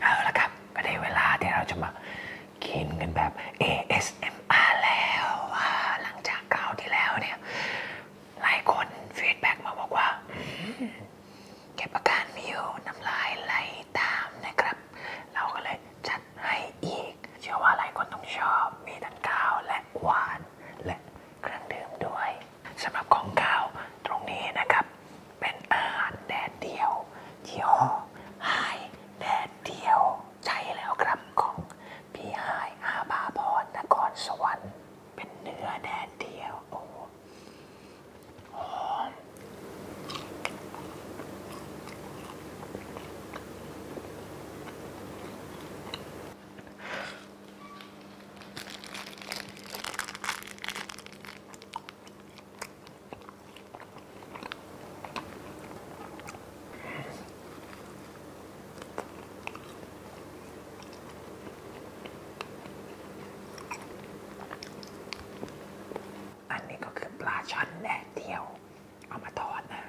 เอาละครับ ก็ได้เวลาที่เราจะมากินกันแบบ ASMR แล้วว่าหลังจากคราวที่แล้วเนี่ย หลายคนฟีดแบ็กมาบอกว่าเก็บอาการไม่อยู่น้ำลายไหลตามนะครับ เราก็เลยจัดให้อีก เชื่อว่าหลายคนต้องชอบ มีทั้งข้าวและหวานและเครื่องดื่มด้วยสำหรับของข้าวตรงนี้นะครับเป็นอาหารแดดเดียวยี่ห้อไฮแดดเดียวใช่แล้วครับของ พี่ไฮอาบาพรนครสวรรค์ เป็นเนื้อแดดเดียวโอ้หอมอันนี้ก็คือปลาช่อนแดดเดียว เอามาทอดนะอ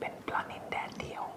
เป็นปลานิแดดเดียว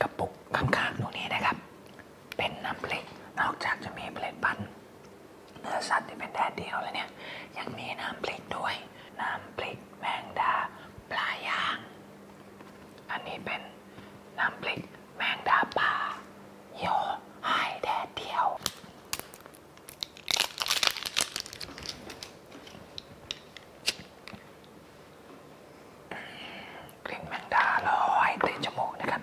กระปุกข้างๆตรงนี้นะครับ เป็นน้ำพริก นอกจากจะมีผลิตภัณฑ์เนื้อสัตว์ที่เป็นแดดเดียวเลยเนี่ยยังมีน้ำพริกด้วย น้ำพริกแมงดาปลาย่าง อันนี้เป็นน้ำพริกแมงดาปลาโยหายแดดเดียวกลิ่นแมงดาลอยเตะจมูกนะครับ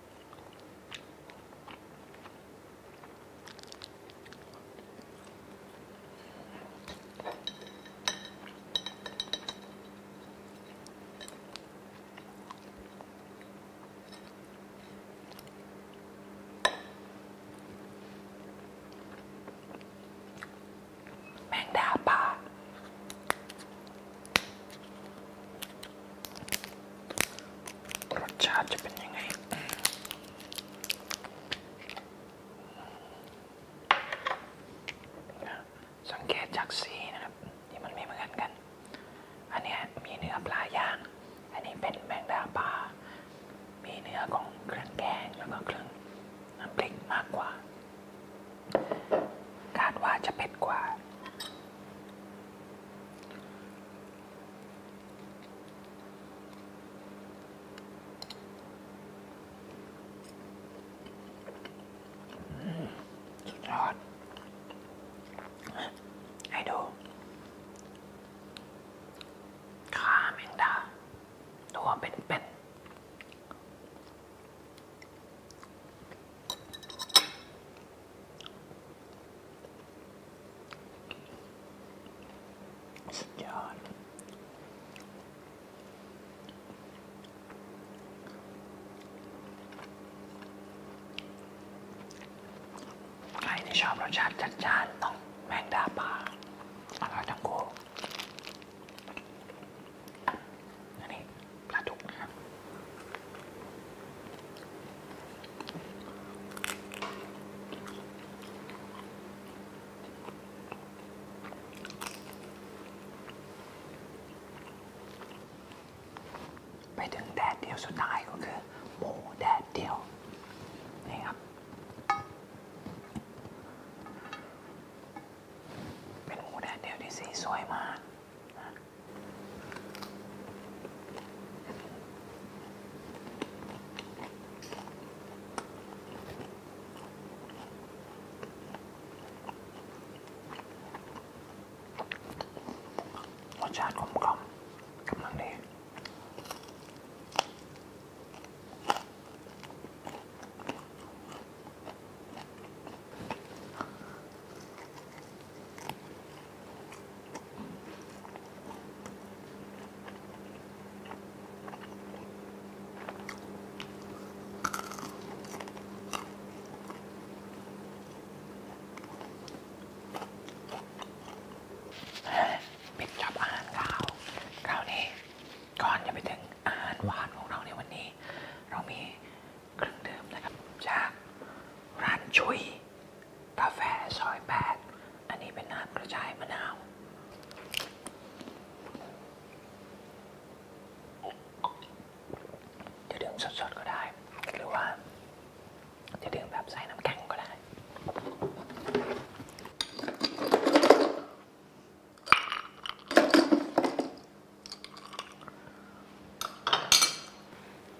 แมงดาป่ารสชาติจะเป็นยังไง สังเกตจากสีนะครับ ที่มันไม่เหมือนกัน อันนี้มีเนื้อปลาย่าง อันนี้เป็นแมงดาปลา มีเนื้อของเครื่องแกงแล้วก็เครื่องน้ำพริกมากกว่าคาดว่าจะเผ็ดกว่าสุดยอดให้ดูขาแมงดา ตัวเป็นเป็นใครทีชอบรสชาติจัดจ้านต้องแมงดาป่าอร่อยทั้งคู่อันนี้ปลาดุกนะครับไปถึงแดดเดียวสุดท้ายก็คือหมูแดดเดียวนี่ครับเป็นหมูแดดเดียวที่สีสวยมากรสชาติกลมกล่อมกำลังดีปิดจอบอาหารคาวคราวนี้ ก่อนจะไปถึงอาหารหวานของเราในวันนี้เรามีเครื่องดื่มนะครับ จาก ร้านชุยกาแฟซอยแปดอันนี้เป็นน้ำกระจายมะนาว จะดื่มสดๆก็ได้ หรือว่า จะดื่มแบบใส่น้ำแข็งก็ได้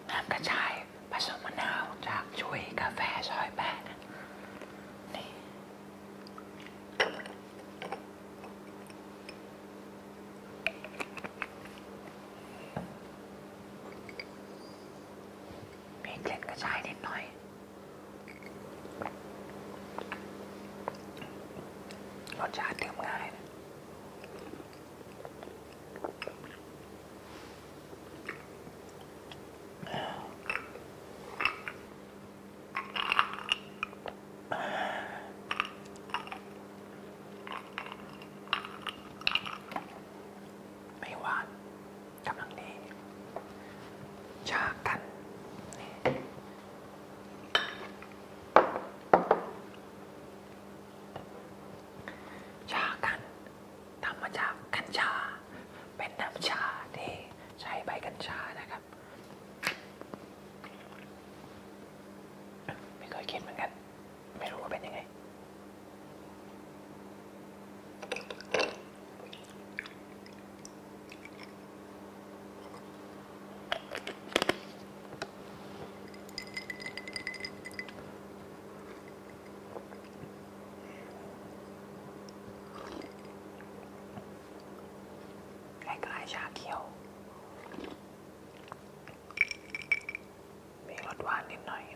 น้ำกระชายผสมมะนาวจากช่วยกาแฟซอยแปดนี่มีเกล็ดกระชายนิดหน่อยรสชาติดื่มง่ายนะไม่หวานกำลังดี ชากันนี่ชากัน ทำมาจากกัญชา เป็นน้ำชาที่ใช้ใบกัญชานะครับ ไม่เคยคิดเหมือนกัน ไม่รู้ว่าเป็นยังไงคล้ายๆชาเขียวมีรสหวานนิดหน่อยอ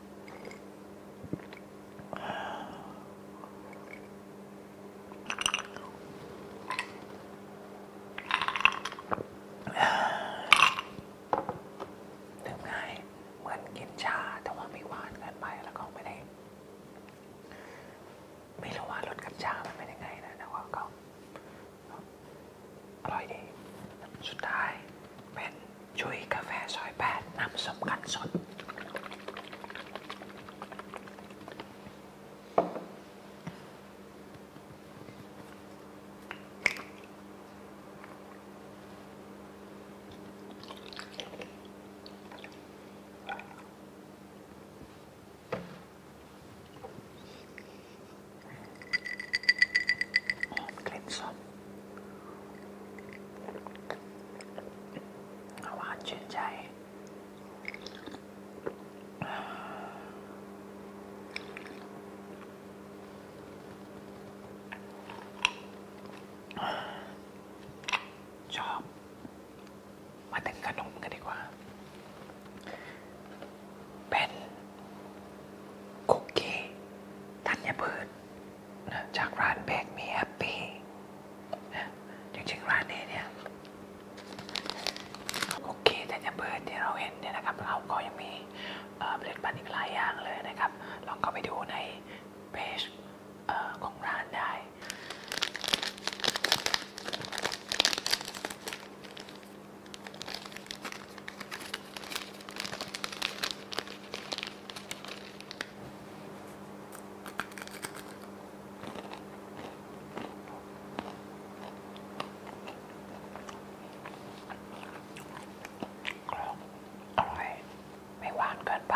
ดืมง่ายเหมือนกินชาแต่ว่าไม่หวานเกินไปแล้วก็ไม่ได้ไม่รู้ว่ารสกับชาเป็นยังไงนะแต่ว่าก็อร่อยดีสุดท้ายเป็นชุยกาแฟซอยแปด น้ำส้มกันสดหอมหวานชื่นใจชอบมาถึงขนมกันดีกว่า เป็นคุกกี้ธัญพืชจากร้านเบกมีแฮปปี้นะจริงๆร้านนี้เนี่ย โอเคแต่จะเปิดที่เราเห็นเนี่ยนะครับ เราก็ยังมีผลิตบันอีกหลายอย่างเลยนะครับ ลองเข้าไปดูในเพจของร้านได้อร่อยไม่หวานเกินไป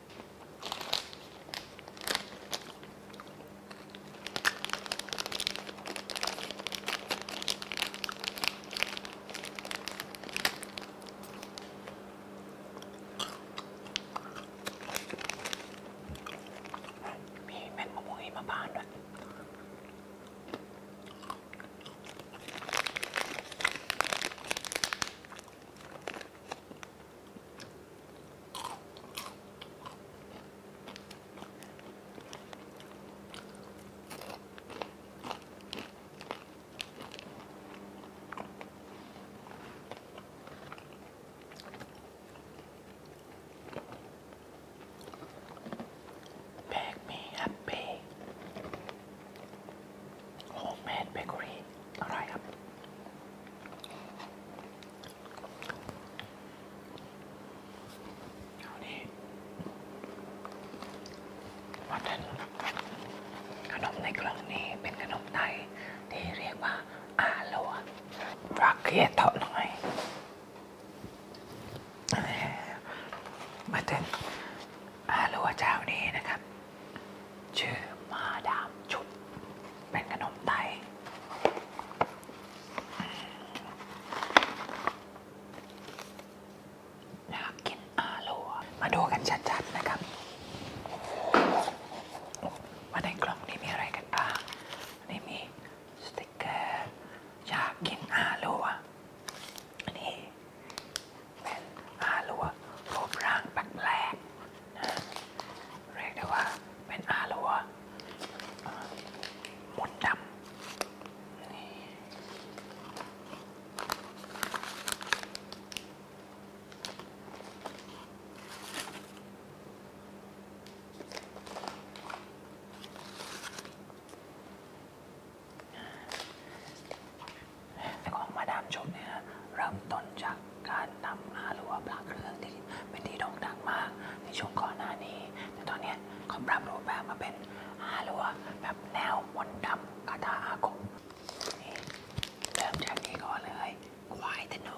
มีเม็ดมะม่วงหิมพานต์ด้วย Bake me happy. Homemade bakery. Alright. เอานี่วัดนั้นขนมในกล่องนี้เป็นขนมไทย ที่เรียกว่าอาโลรักเกียเถาะหน่อยมาถึงอาโลเจ้านี้นะครับชื่อมาดามชุบเป็นขนมไทยอยากกินอาลัวมาดูกันชัดๆนะครับ ว่าในกล่องนี้มีอะไรกันบ้าง นี่มีสติกเกอร์อยากกินอาลัวนี่เป็นอาลัรูปร่างแปลกเรียกได้ว่าเป็นอาลัวมดดำนี่แต่ของมาดามชุบเนี่ยนะเริ่มต้นจากการนำอาลัวพระเครื่องที่เป็นที่โด่งดังมากในช่วงก่อนหน้านี้แต่ตอนนี้เขาปรับรูปแบบมาเป็นอาลัวแบบแนวมนต์ดำคาถาอาคมนี่เริ่มจากนี้ก่อนเลยควายธนู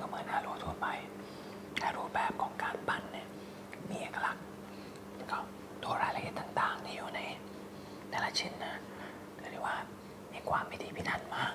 ก็เหมือนฮาโลทั่วไปแตรูแบบของการปั้นเนี่ย มีเอกลักษณ์ก็ตัวรายละเอียดต่างๆที่อยู่ในแต่ละชิ้นนะเรียกได้ว่ามีความพิถีพิถันมาก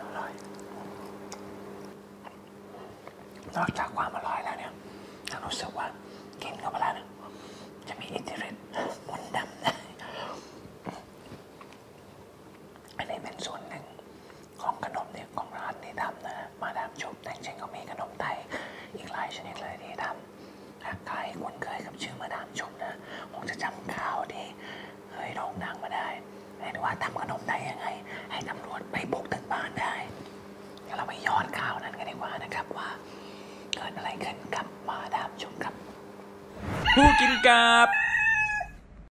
อร่อยนอกจากความอร่อยแล้ว เนี่ยเ้ารู้สึกว่ากินเข้าไปล้วเนี่ยจะมีอิทธิฤทธิ์มนดำนะอันนี้เป็นส่วนหนึ่งของขนมเนี่ยของร้านที่ทำนะมาดามชม แต่จชิงๆก็มีขนมไทยอีกหลายชนิดเลยที่ทำหากใครคุ้นเคยกับชื่อมาดามชมนะคงจะจำข่าวที่เคยโด่งดังมาได้เห็นว่าทำขนมไทยยังไง ให้ตำรวจไปบุกถึงบ้านได้เราไปย้อนข่าวนั้นกันดีกว่านะครับว่า เกิดอะไรขึ้นกับมาดามชมครับ ผู้กินกับ